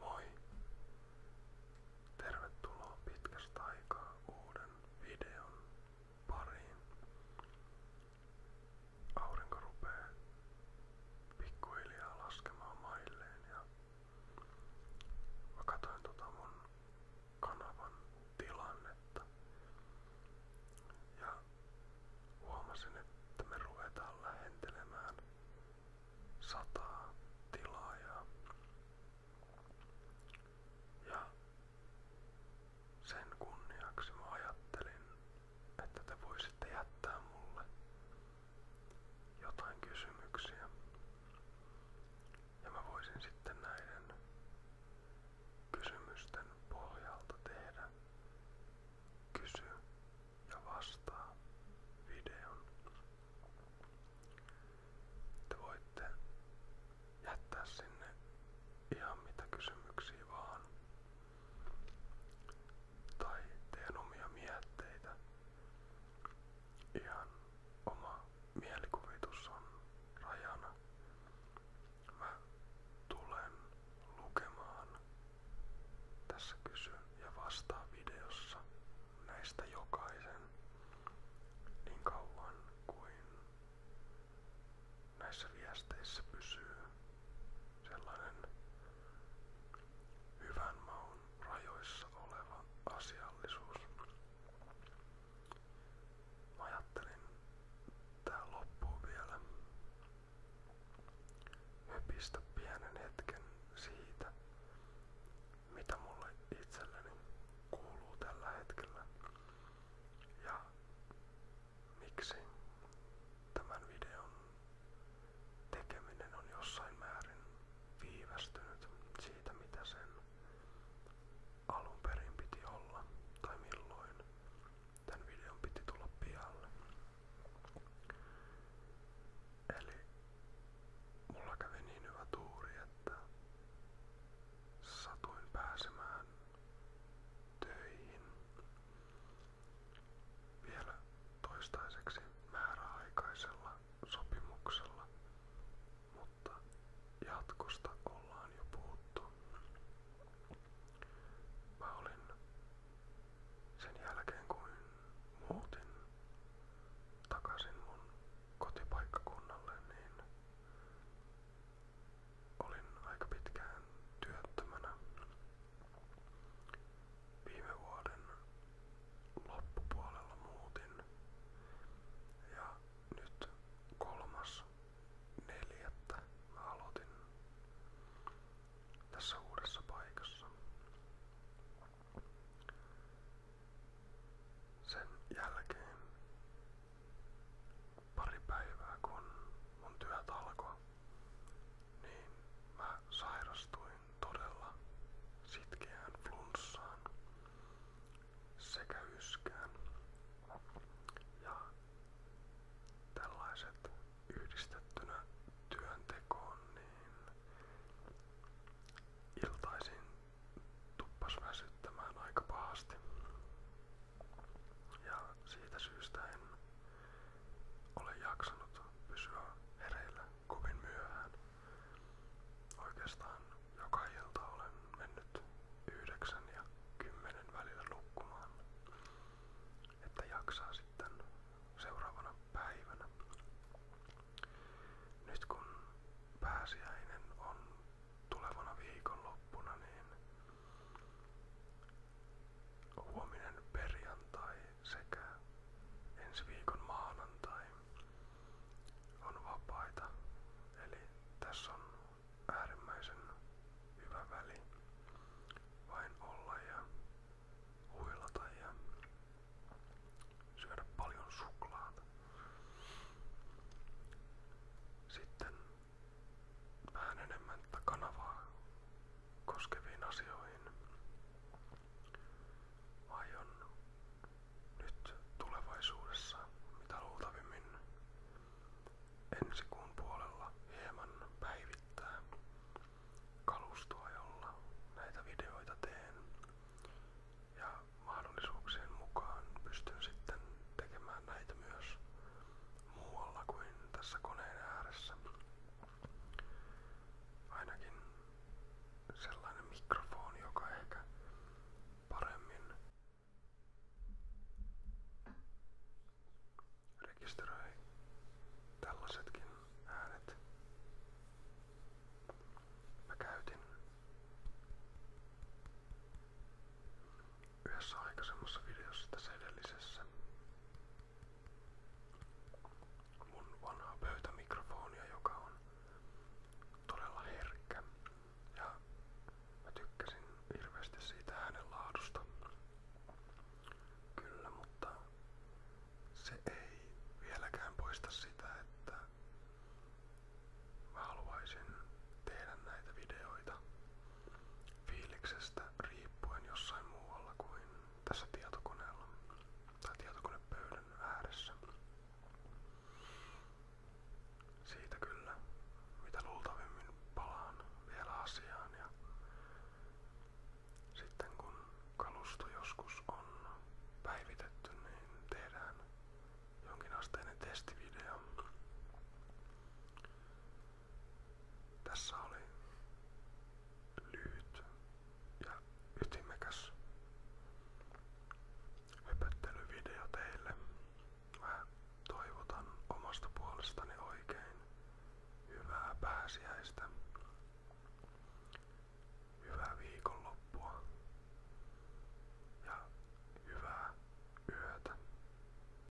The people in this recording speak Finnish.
Moi! Tervetuloa pitkästä aikaa uuden videon pariin. Aurinko rupeaa pikkuhiljaa laskemaan mailleen ja mä katsoin tota mun kanavan tilannetta ja huomasin, että me ruvetaan lähentelemään sataa tilaajaa. Ja sen kunniaksi mä ajattelin, että te voisitte jättää mulle jotain kysymyksiä. Ja mä voisin sitten näiden kysymysten pohjalta tehdä kysy ja vastaa videon. Te voitte jättää sinne ihan mitä kysymyksiä vaan. Tai teidän omia mietteitä. Ihan oma mielikuvitus on rajana. Mä tulen lukemaan tässä kysy ja vastaa videossa näistä jokaisen niin kauan kuin näissä viesteissä pysyy sellainen hyvän maun rajoissa oleva asiallisuus. Mä ajattelin, tää loppuu vielä Hypistä pienen hetken siitä, mitä mulle itselleni kuuluu tällä hetkellä ja miksi tämän videon tekeminen on jossain määrin viivästynyt siitä, mitä sen alun perin piti olla tai milloin Tän videon piti tulla pialle. Eli mulla kävi niin hyvä tuuri, että satuin pääsemään töihin vielä toistaiseksi määräaikaisella sopimuksella mutta jatkosta ollaan jo puhuttu. Mä olin sen jälkeen kun muutin takaisin mun kotipaikkakunnalle, niin olin aika pitkään työttömänä. Viime vuoden loppupuolella muutin ja nyt kolmas neljättä mä aloitin tässä uudessa paikassa. Sen jälkeen pari päivää kun mun työt alkoi, niin mä sairastuin todella sitkeään flunssaan sekä yskään. Ja tällaiset yhdistettynä työntekoon, niin iltaisin tuppas väsyttämään aika pahasti. Ja siitä syystä en ole jaksanut pysyä hereillä kovin myöhään. Oikeastaan joka ilta olen mennyt yhdeksän ja kymmenen välillä nukkumaan, että jaksaa sitten seuraavana päivänä. Nyt kun pääsiäinen on tulevana viikonloppuna, niin huominen perjantai sekä ensi viikon maanantai on vapaita. Eli tässä on äärimmäisen hyvä väli vain olla ja huilata ja syödä paljon suklaata. Sitten vähän enemmän kanavaa koskeviin asioihin aion nyt tulevaisuudessa, mitä luultavimmin ensi kuun puolella hieman päivittää kalustoa, jolla näitä videoita teen. Ja mahdollisuuksien mukaan pystyn sitten tekemään näitä myös muualla kuin tässä koneen ääressä ainakin sellainen mikrofoni, joka ehkä paremmin rekisteröi tällaisetkin äänet. Mä käytin yhdessä aikaisemmassa videossa tässä edellisessä mun vanhaa pöytämikrofonia, joka on todella herkkä. Ja tykkäsin hirveästi siitä äänen laadusta. Kyllä, mutta se ei vieläkään poista sitä, että haluaisin tehdä näitä videoita fiiliksestä riippuen jossain muualla kuin tässä tietokoneella tai tietokonepöydän ääressä. Siitä kyllä, mitä luultavimmin palaan vielä asiaan ja sitten kun kalusto joskus on päivitetty, niin tehdään jonkinasteinen testivideo tässä oli lyhyt ja ytimekäs höpöttelyvideo teille. Mä toivotan omasta puolestani oikein hyvää pääsiäistä. Hyvää viikonloppua ja hyvää yötä.